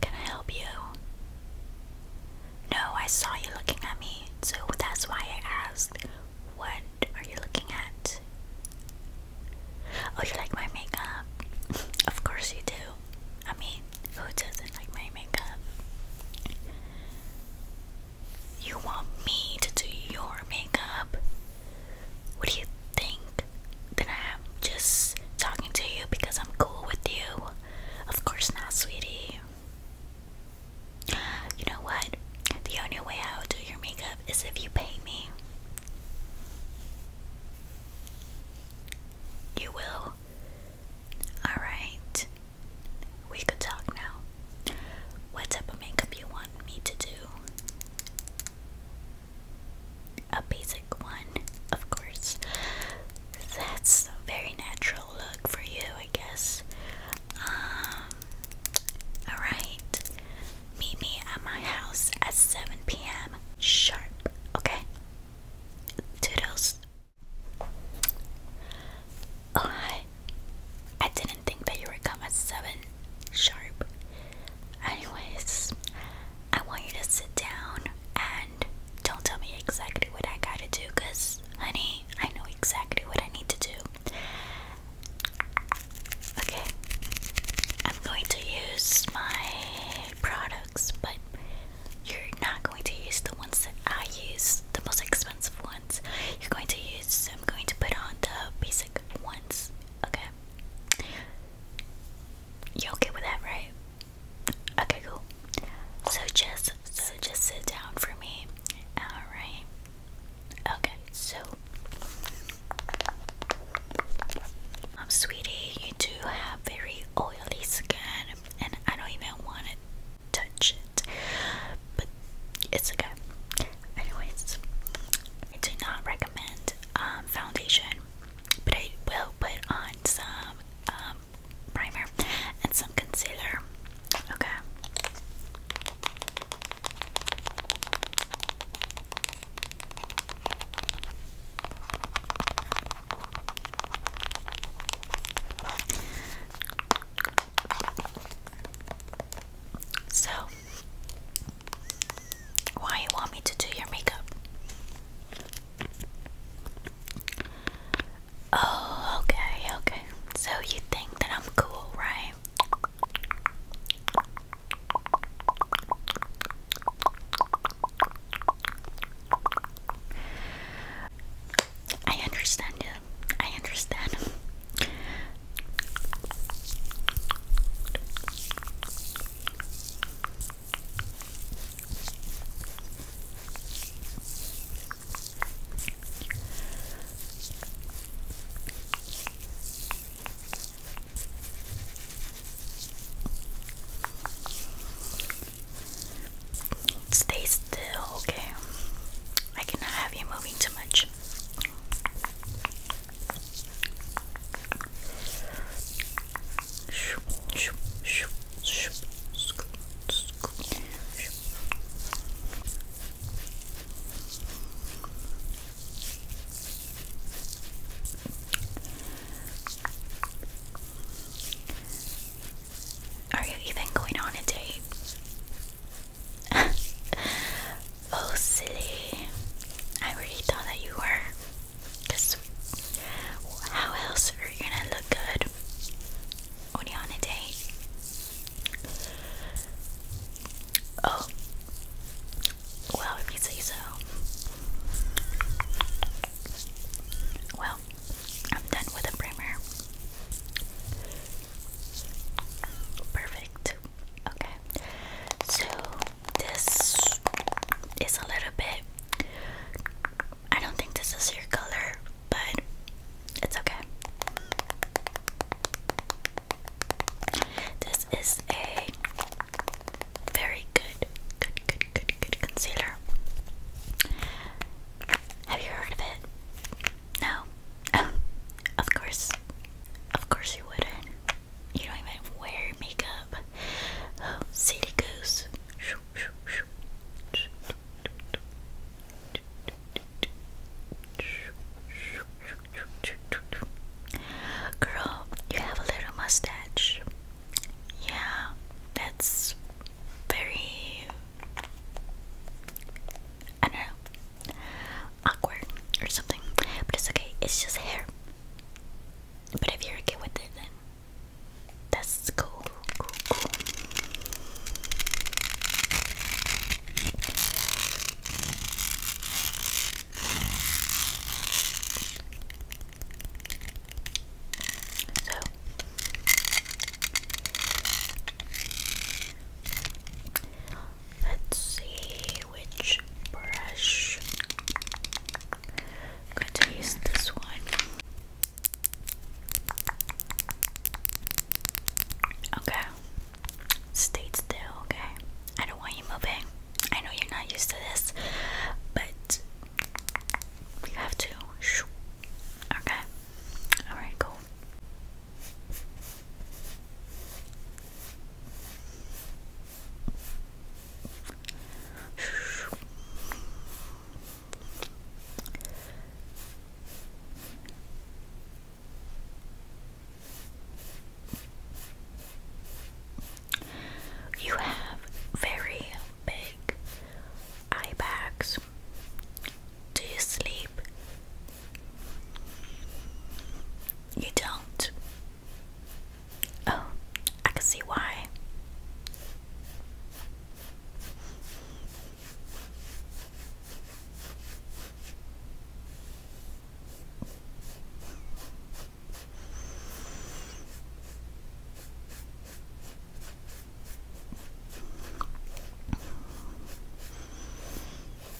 Can I help you? No, I saw you looking at me, so that's why I asked, What are you looking at? Oh, you like my makeup? of course you do. I mean, who doesn't like my makeup? You want me to do your makeup? What do you think that I'm just talking to you because I'm cool with you. Of course not, sweetie. You know what? The only way I will do your makeup is if you pay me. You will? Alright. We could talk now. What type of makeup you want me to do? a basic one, of course. That's a very natural look for you, I guess. Um, alright. Meet me at my house at 7 p.m. sharp, okay? Toodles. Oh, hi. I didn't think that you would come at 7 sharp. Anyways, I want you to sit down and don't tell me exactly what I gotta do, honey, I know exactly what I need to do. Okay, I'm going to use my products, but you're not going to use the ones that I use, the most expensive ones. You're going to use, I'm going to put on the basic ones, okay? You okay with that, right? Okay, cool. So just so just sit down for me. Alright. Okay, so um, sweetie, you do have very oily skin and I don't even want to touch it. But it's okay. Anyways, I do not recommend um um, foundation, but I will put on some um, primer and some concealer. Okay. So, why you want me to do your makeup? Oh, okay, okay. So you think that I'm cool, right? I understand you. I understand. Stay still, okay. I cannot have you moving too much. Are you even going on a date? oh, silly. I really thought that you were. Because how else are you gonna look good when you're on a date? Oh. Well, if you say so. Well, I'm done with the primer. Perfect. Okay, so this is a little bit. I don't think this is your color, but it's okay. This is a very good, good, good, good, good concealer. Have you heard of it? No? of course. Of course you wouldn't. You don't even wear makeup. Oh, goose. Girl, you have a little mustache. Yeah, that's very. I don't know awkward or something, but it's okay. It's just hair. But if you're okay with it, then that's cool. So Let's see which brush. I'm this one. Okay. Stay still, okay? I don't want you moving. I know you're not used to this, but you have to. Okay. Alright, cool. You have very big eye bags. Do you sleep you don't? Oh, I can see why.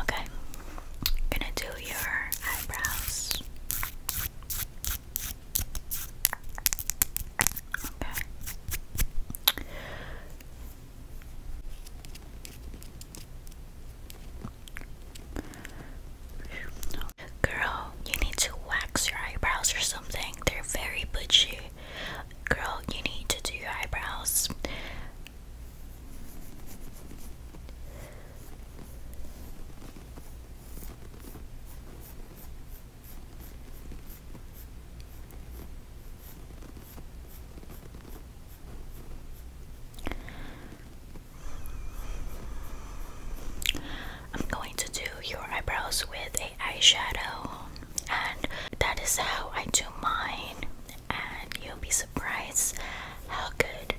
Okay, gonna do your eyebrows. Okay. Girl, you need to wax your eyebrows or something. They're very bushy. Girl, you need to do your eyebrows. I'm going to do your eyebrows with a eyeshadow and that is how I do mine and you'll be surprised how good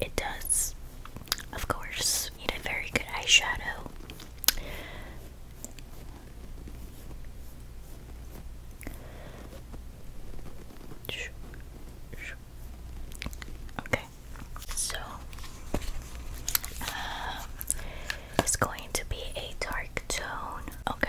it does. Of course, need a very good eyeshadow. Okay, so um, it's going to be a dark tone. Okay,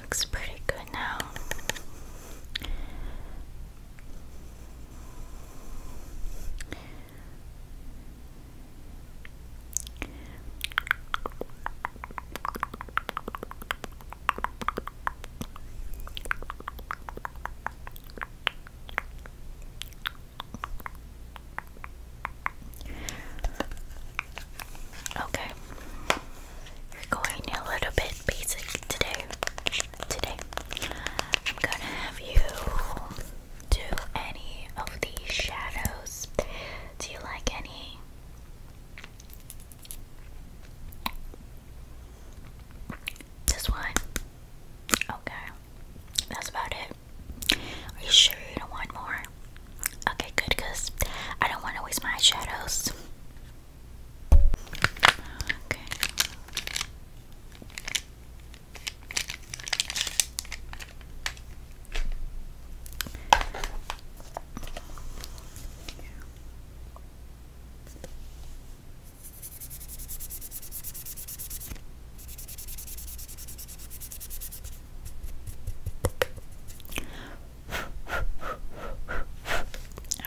Looks pretty good now. Okay. We're going a little bit basic today. Today. I'm gonna have you do any of these shadows. Do you like any? This one? Okay. That's about it. Are you sure you don't want more? Okay, good, because I don't want to waste my eyeshadows. Okay.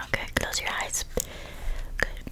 Okay, close your eyes. Good.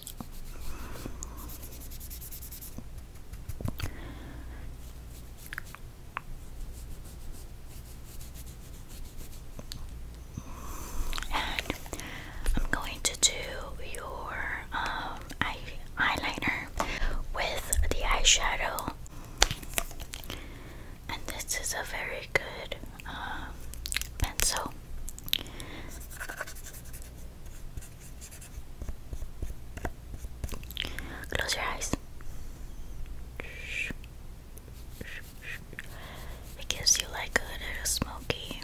And I'm going to do your um, eye eyeliner with the eyeshadow. And this is a very good um, pencil. Close your eyes. It gives you like a little smoky.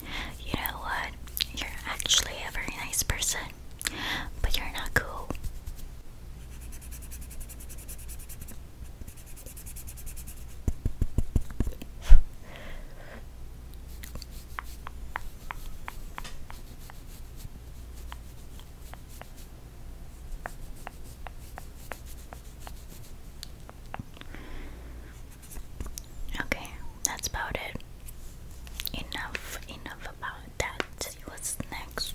You know what? You're actually a very nice person, but you're not cool. Okay, that's about it. Enough, enough about that. what's next.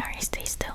Alright, stay still.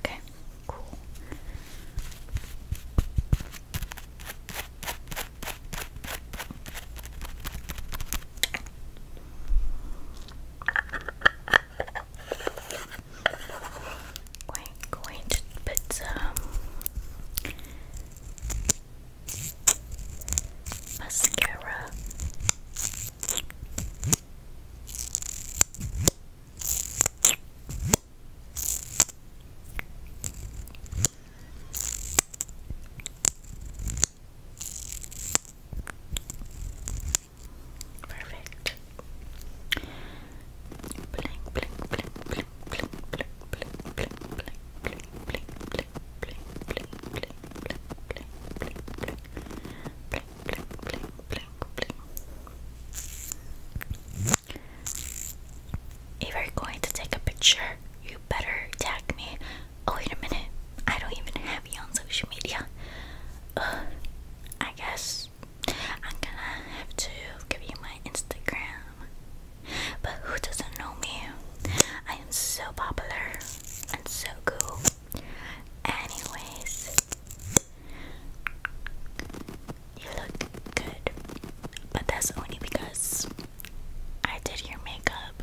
Okay, cool. We're going to put some mascara. Perfect. Blink, blink, blink, blink, blink, blink, blink, blink, blink, blink, if you're going to take a picture, you better tag me. Oh wait a minute, I don't even have you on social media. I guess I'm gonna have to give you my Instagram. But who doesn't know me? I am so popular and so cool. Anyways, you look good, but that's only because I did your makeup.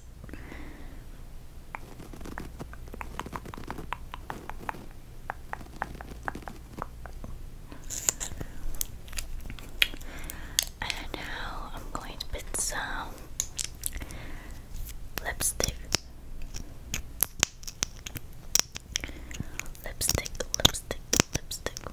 And now I'm going to put some lipstick. Lipstick, lipstick, lipstick.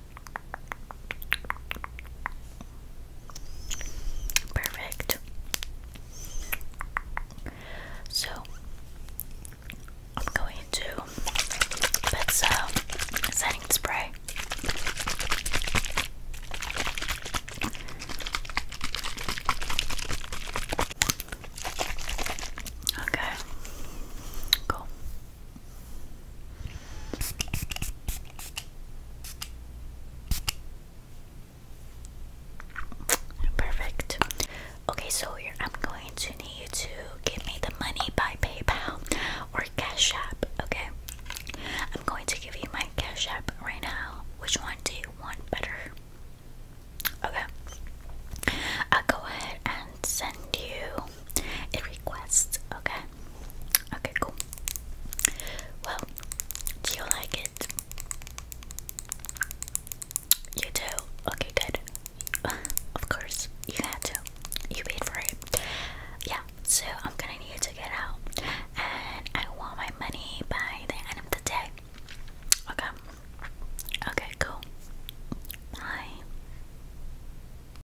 Perfect. So I'm going to put some setting spray. Okay. Cool. Perfect. Okay, so I'm going to need to give me the money by PayPal or Cash App. Okay, I'm going to give you my Cash App right now. Which one do you want better? Okay, I'll go ahead and send you it requests. Okay. Okay, cool. Well, do you like it? You do? Okay, good. of course, you had to. You paid for it. Yeah, so I'm gonna need to get out. And I want my money by the end of the day. Okay. Okay, cool. Bye.